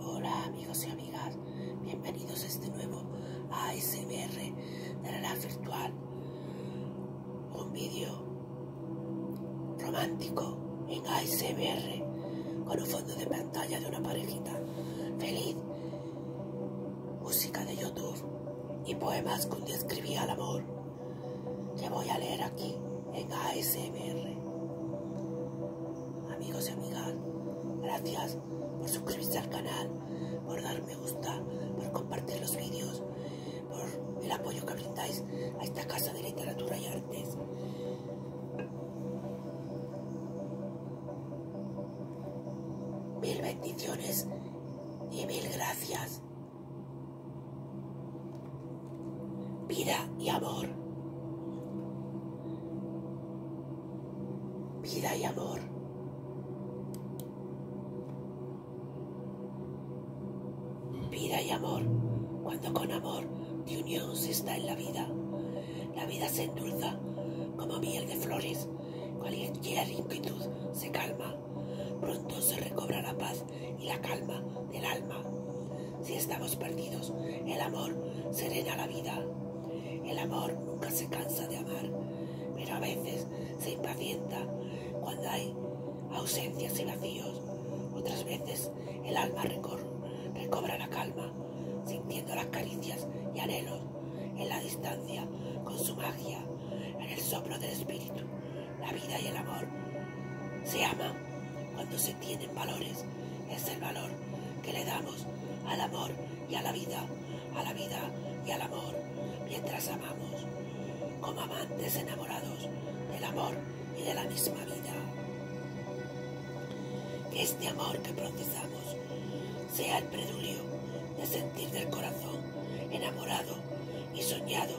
Hola amigos y amigas, bienvenidos a este nuevo ASMR de la virtual. Un vídeo romántico en ASMR con un fondo de pantalla de una parejita feliz, música de YouTube y poemas que un día al amor que voy a leer aquí en ASMR. Amigos y amigas, gracias por suscribirse al canal, por dar me gusta, por compartir los vídeos, por el apoyo que brindáis a esta casa de literatura y artes. Mil bendiciones y mil gracias. Vida y amor. Vida y amor. Vida y amor. Cuando con amor de unión se está en la vida, la vida se endulza como miel de flores. Cualquier inquietud se calma. Pronto se recobra la paz y la calma del alma. Si estamos perdidos, el amor serena la vida. El amor nunca se cansa de amar, pero a veces se impacienta cuando hay ausencias y vacíos. Otras veces el alma recobra la calma, sintiendo las caricias y anhelos en la distancia con su magia, en el soplo del espíritu. La vida y el amor se aman cuando se tienen valores, es el valor que le damos al amor y a la vida, a la vida y al amor, mientras amamos, como amantes enamorados del amor y de la misma vida. este amor que procesamos sea el preludio de sentir del corazón enamorado y soñado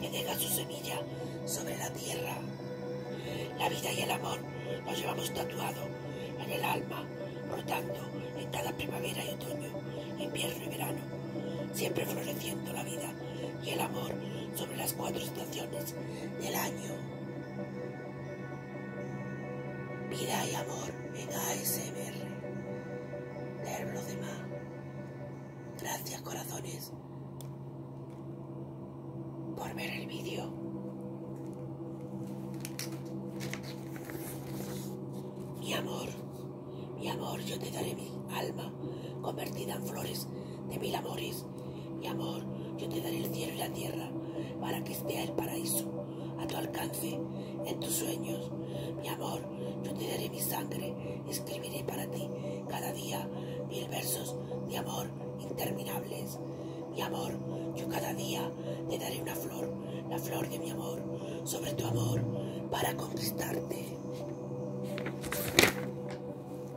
que deja su semilla sobre la tierra. La vida y el amor los llevamos tatuados en el alma, brotando en cada primavera y otoño, invierno y verano, siempre floreciendo la vida y el amor sobre las cuatro estaciones del año. Vida y amor en ASMR. Leer de demás. Gracias, corazones por ver el vídeo. Mi amor, mi amor, yo te daré mi alma convertida en flores de mil amores. Mi amor, yo te daré el cielo y la tierra para que esté el paraíso a tu alcance, en tus sueños. Mi amor, yo te daré mi sangre escribiré para ti cada día mil versos de amor interminables. Mi amor, yo cada día te daré una flor, la flor de mi amor, sobre tu amor, para conquistarte.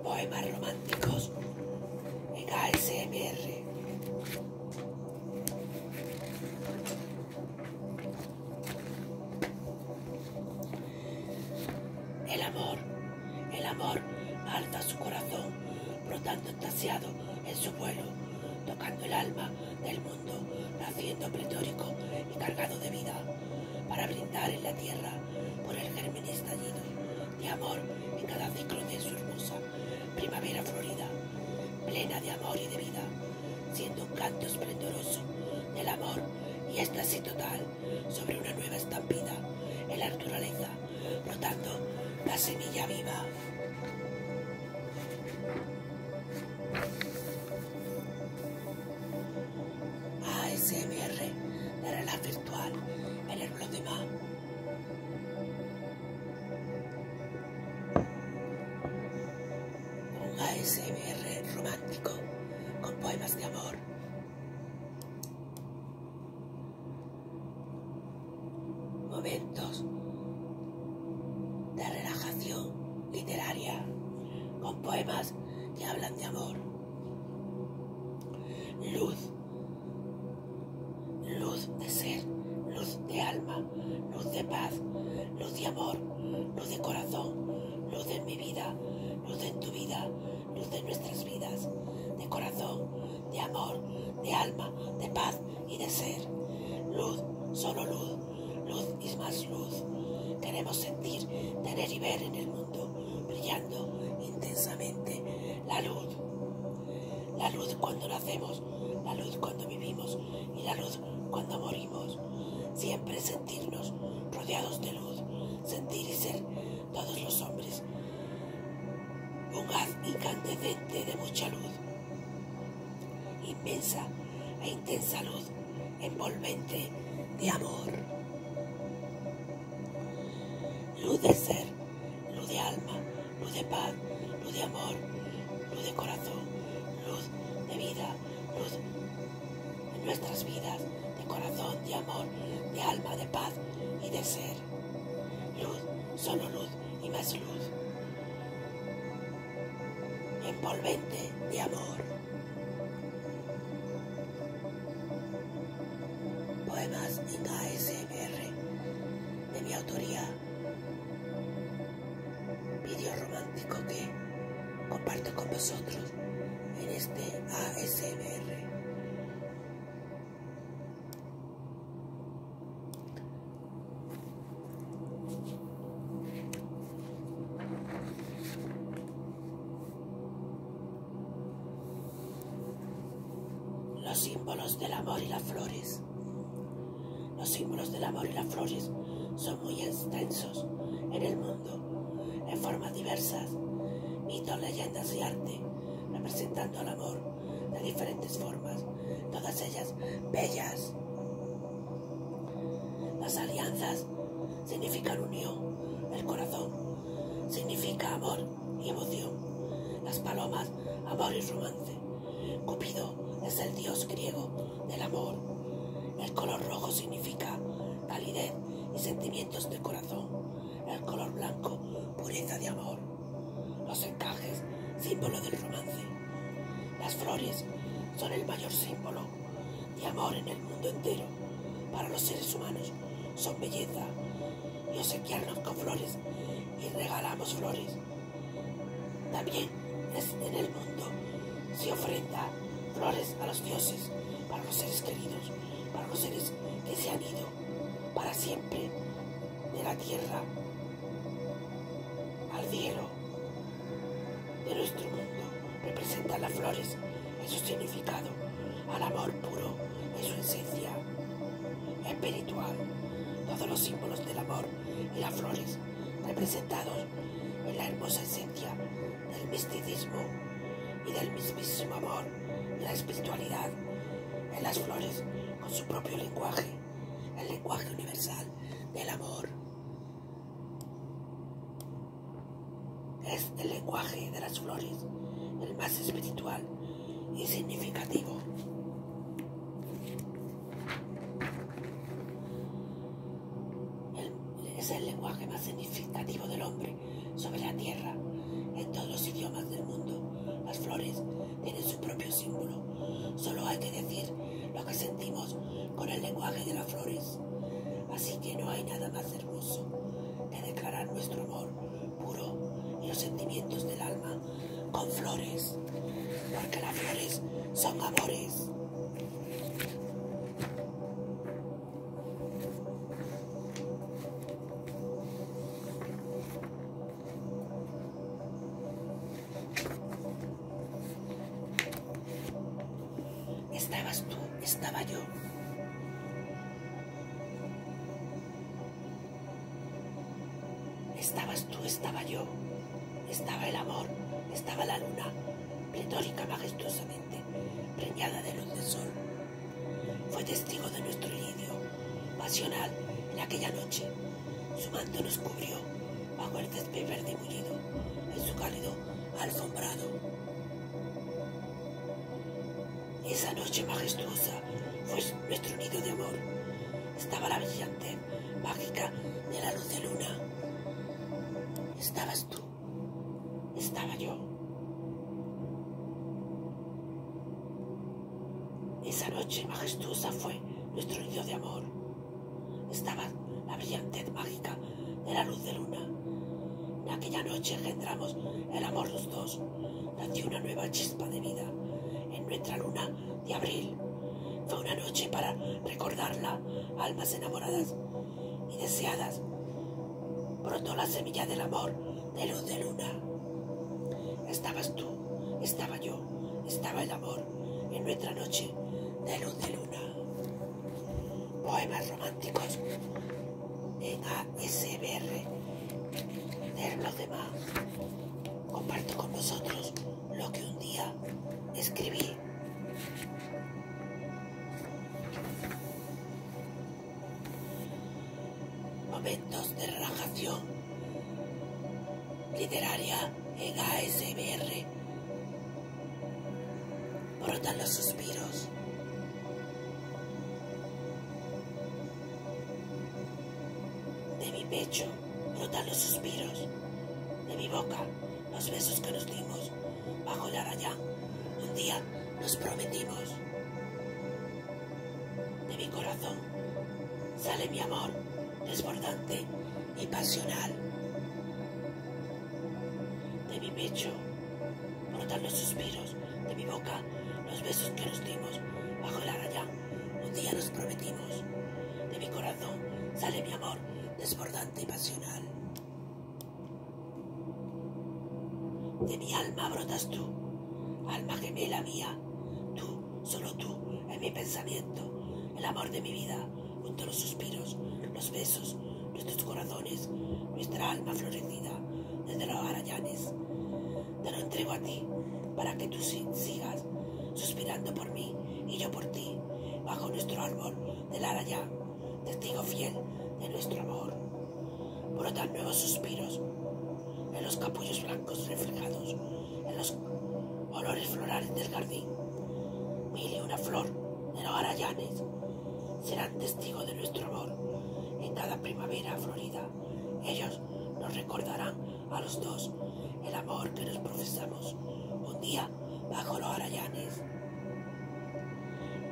Poemas románticos en ASMR. El amor, el amor alta su corazón, brotando extasiado en su vuelo, tocando el alma del mundo, naciendo pletórico y cargado de vida, para brindar en la tierra por el germen estallido de amor en cada ciclo de su hermosa primavera florida, plena de amor y de vida, siendo un canto esplendoroso del amor y éxtasis total sobre una nueva estampida en la naturaleza, brotando la semilla viva. ASMR de realidad virtual en el blog de ma Un ASMR romántico con poemas de amor momentos de relajación literaria con poemas que hablan de amor. Luz, luz de ser, luz de alma, luz de paz, luz de amor, luz de corazón, luz de mi vida, luz en tu vida, luz de nuestras vidas, de corazón, de amor, de alma, de paz y de ser. Luz, solo luz, luz y más luz. Queremos sentir, tener y ver en el mundo, brillando intensamente la luz. La luz cuando nacemos, la luz cuando vivimos y la luz cuando morimos. Siempre sentirnos rodeados de luz, sentir y ser todos los hombres, un haz incandescente de mucha luz, inmensa e intensa luz, envolvente de amor. Luz de ser, luz de alma, luz de paz, luz de amor, luz de corazón, luz de vida, luz en nuestras vidas de corazón, de amor, de alma, de paz y de ser. Luz, solo luz y más luz. Envolvente de amor. Poemas en ASMR de mi autoría. Video romántico que comparto con vosotros en este ASBR. Los símbolos del amor y las flores. Los símbolos del amor y las flores son muy extensos en el mundo en formas diversas, mitos, leyendas y arte, representando el amor de diferentes formas, todas ellas bellas. Las alianzas significan unión, el corazón significa amor y emoción, las palomas amor y romance. Cupido es el dios griego del amor. El color rojo significa validez y sentimiento de corazón, el color blanco, pureza de amor, los encajes, símbolo del romance. Las flores son el mayor símbolo de amor en el mundo entero. Para los seres humanos son belleza y obsequiarnos con flores y regalamos flores. También es en el mundo se ofrenda flores a los dioses para los seres queridos para los seres que se han ido para siempre de la tierra al cielo de nuestro mundo. Representa las flores en su significado, al amor puro en su esencia espiritual. Todos los símbolos del amor y las flores representados en la hermosa esencia del misticismo y del mismísimo amor y la espiritualidad en las flores con su propio lenguaje, el lenguaje universal del amor. Es el lenguaje de las flores, el más espiritual y significativo. es el lenguaje más significativo del hombre sobre la tierra, en todos los idiomas del mundo. Las flores tienen su propio símbolo. Solo hay que decir lo que sentimos con el lenguaje de las flores. Así que no hay nada más hermoso que declarar nuestro amor puro y los sentimientos del alma con flores, porque las flores son amores. Estabas tú, estaba yo. Estabas tú, estaba yo. Estaba el amor, estaba la luna, pletórica, majestuosa, preñada de luz del sol. Fue testigo de nuestro nido, pasional en aquella noche. Su manto nos cubrió bajo el césped verde mullido en su cálido alfombrado. Esa noche majestuosa fue nuestro nido de amor. Estaba la brillante mágica de la luz de luna. Estabas tú estaba yo. Esa noche majestuosa fue nuestro nido de amor. Estaba la brillantez mágica de la luz de luna. En aquella noche engendramos el amor los dos. Nació una nueva chispa de vida en nuestra luna de abril. Fue una noche para recordarla, almas enamoradas y deseadas, brotó la semilla del amor de luz de luna. Estabas tú, estaba yo, estaba el amor en nuestra noche de luz de luna. Poemas románticos en ASBR de los demás. Comparto con vosotros lo que un día escribí. Momentos de relajación literaria en ASMR. Brotan los suspiros. De mi pecho brotan los suspiros. De mi boca los besos que nos dimos bajo la raya. Un día nos prometimos. De mi corazón sale mi amor desbordante y pasional. De mi pecho brotan los suspiros, de mi boca los besos que nos dimos bajo la raya. Un día nos prometimos. De mi corazón sale mi amor desbordante y pasional. De mi alma brotas tú, alma gemela mía, tú, solo tú, en mi pensamiento, el amor de mi vida, junto a los suspiros, los besos, nuestros corazones, nuestra alma florecida, desde los arayanes, Te lo entrego a ti, para que tú sigas suspirando por mí y yo por ti, bajo nuestro árbol del araña testigo fiel de nuestro amor. Brotan nuevos suspiros en los capullos blancos reflejados, en los olores florales del jardín. Mil una flor de los arayanes serán testigo de nuestro amor. En cada primavera florida, ellos nos recordarán a los dos el amor que nos profesamos un día bajo los arayanes.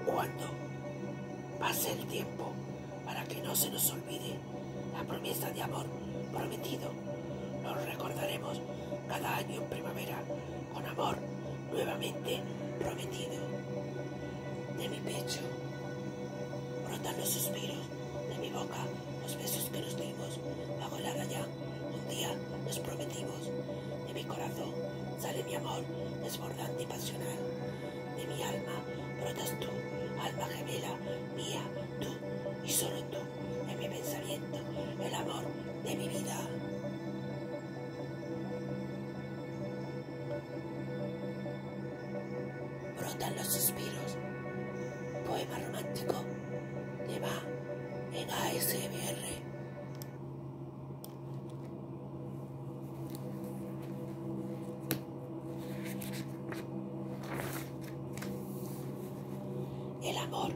Cuando pase el tiempo para que no se nos olvide la promesa de amor prometido, nos recordaremos cada año en primavera con amor nuevamente prometido. De mi pecho brotan los suspiros, de mi boca los besos que nos dimos bajo la ya un día nos prometimos. De mi corazón sale mi amor desbordante y pasional. De mi alma brotas tú, alma gemela mía, tú y solo tú. En mi pensamiento, el amor de mi vida. Brotan los suspiros. Poema romántico Te Va en ASMR. El amor,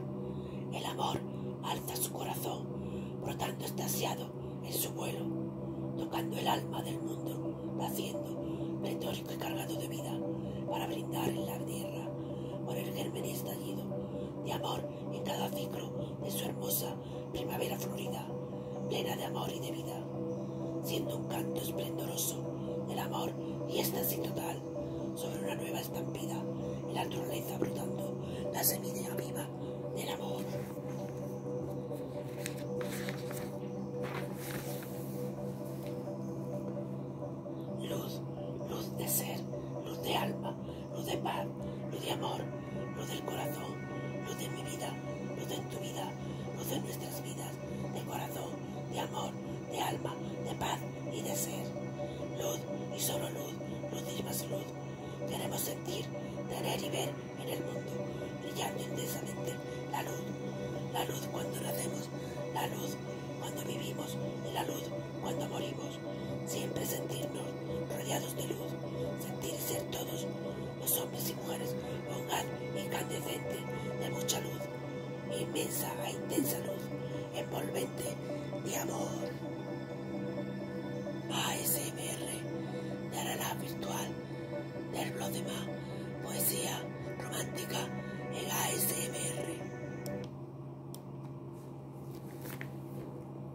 el amor alza su corazón, brotando extasiado en su vuelo, tocando el alma del mundo, naciendo, retórico y cargado de vida, para brindar en la tierra por el germen estallido de amor en cada ciclo de su hermosa primavera florida, plena de amor y de vida, siendo un canto esplendoroso del amor y éxtasis total sobre una nueva estampida la naturaleza brotando la semilla viva del amor. Luz, luz de ser, luz de alma, luz de paz, luz de amor, luz del corazón, luz de mi vida, luz de tu vida, luz de nuestras vidas, de corazón, de amor, de alma, de paz y de ser. Luz y solo luz, luz y más luz. Queremos sentir, tener y ver en el mundo, brillando intensamente la luz. La luz cuando nacemos, la luz cuando vivimos y la luz cuando morimos siempre sentirnos rodeados de luz, sentir ser todos los hombres y mujeres un lugar incandescente de mucha luz, inmensa e intensa luz, envolvente de amor. ASMR de la virtual del blog de poesía romántica en ASMR.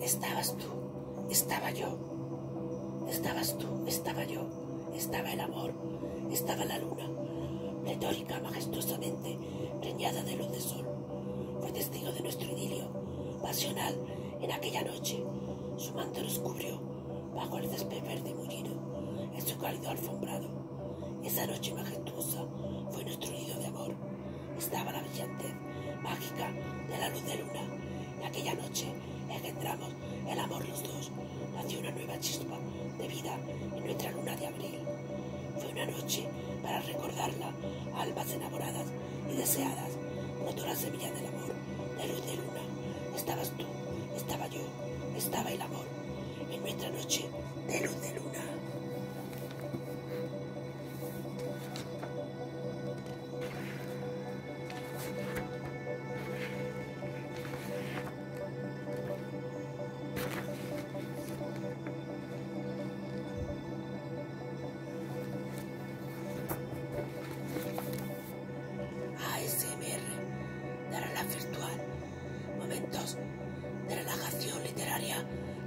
Estabas tú, estaba yo. Estabas tú, estaba yo. Estaba el amor, estaba la luna, retórica, majestuosamente, reñada de luz de sol. Fue testigo de nuestro idilio, pasional, en aquella noche. Su manto nos cubrió bajo el césped verde mullido, en su cálido alfombrado. Esa noche majestuosa fue nuestro idilio de amor estaba la brillantez mágica de la luz de luna. en aquella noche en que entramos el amor los dos, nació una nueva chispa de vida en nuestra luna de abril. Fue una noche para recordarla, almas enamoradas y deseadas, brotó la semilla del amor, de luz de luna. Estabas tú, estaba yo, estaba el amor, en nuestra noche de luz de luna. A SMR, dará la virtual momentos de relajación literaria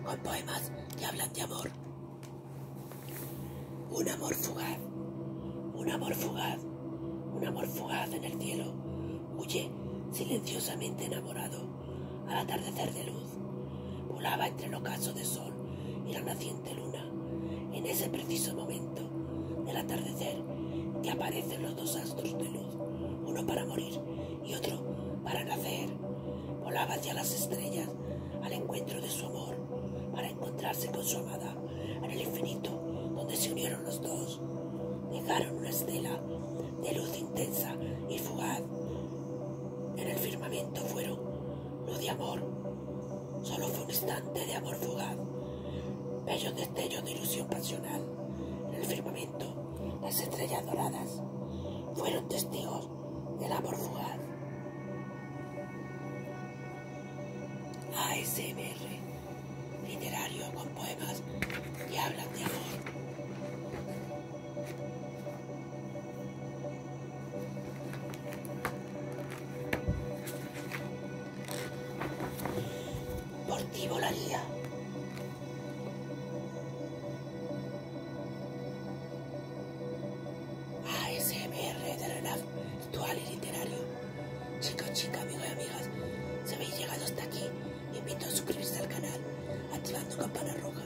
con poemas que hablan de amor. Un amor fugaz, un amor fugaz, un amor fugaz en el cielo. Huye silenciosamente enamorado al atardecer de luz. Volaba entre el ocaso de sol y la naciente luna. En ese preciso momento del atardecer que aparecen los dos astros de luz, uno para morir y otro para nacer volaba hacia las estrellas al encuentro de su amor, para encontrarse con su amada en el infinito, donde se unieron los dos. Dejaron una estela de luz intensa y fugaz. En el firmamento fueron luz de amor. Solo fue un instante de amor fugaz. Bellos destellos de ilusión pasional. En el firmamento, las estrellas doradas fueron testigos del amor fugaz. ASMR, literario con poemas y habla de amor. Por ti ASMR de Renaf, Virtual y literario. Chicos, chicas, amigos y amigas, si habéis llegado hasta aquí, invito a suscribirse al canal activando campana roja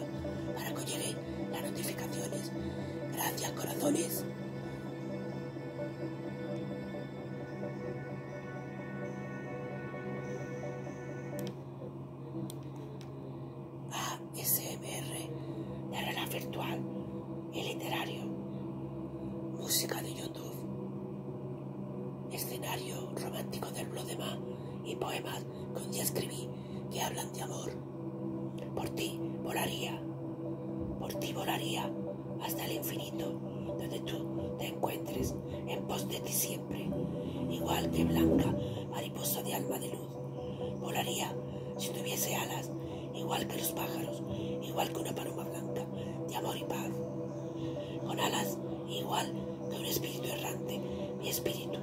para que os lleguen las notificaciones. Gracias, corazones. ASMR, e realidad virtual y literario, música de YouTube, escenario romántico del Blodema y poemas que escribí que hablan de amor. Por ti volaría, por ti volaría hasta el infinito donde tú te encuentres en pos de ti siempre, igual que blanca mariposa de alma de luz. Volaría si tuviese alas, igual que los pájaros, igual que una paloma blanca de amor y paz. Con alas, igual que un espíritu errante, mi espíritu.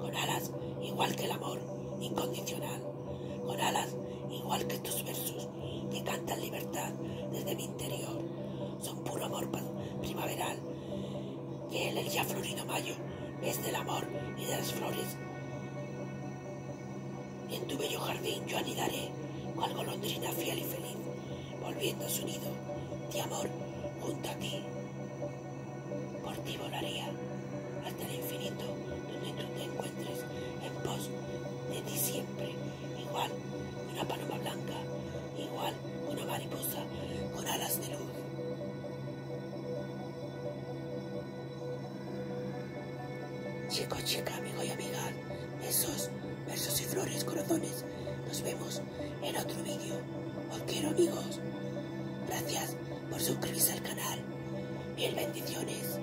Con alas, igual que el amor incondicional. Con alas, igual que tus versos, que cantan libertad desde mi interior. Son puro amor primaveral que en el ya florido mayo es del amor y de las flores. en tu bello jardín yo anidaré, cual golondrina fiel y feliz, volviendo a su nido de amor junto a ti. Por ti volaría hasta el infinito donde tú te encuentres en pos de ti siempre, igual una paloma blanca, igual una mariposa con alas de luz. Chico, chica, amigo y amiga, besos, versos y flores, corazones. Nos vemos en otro vídeo. Os quiero, amigos. Gracias por suscribirse al canal. Mil bendiciones.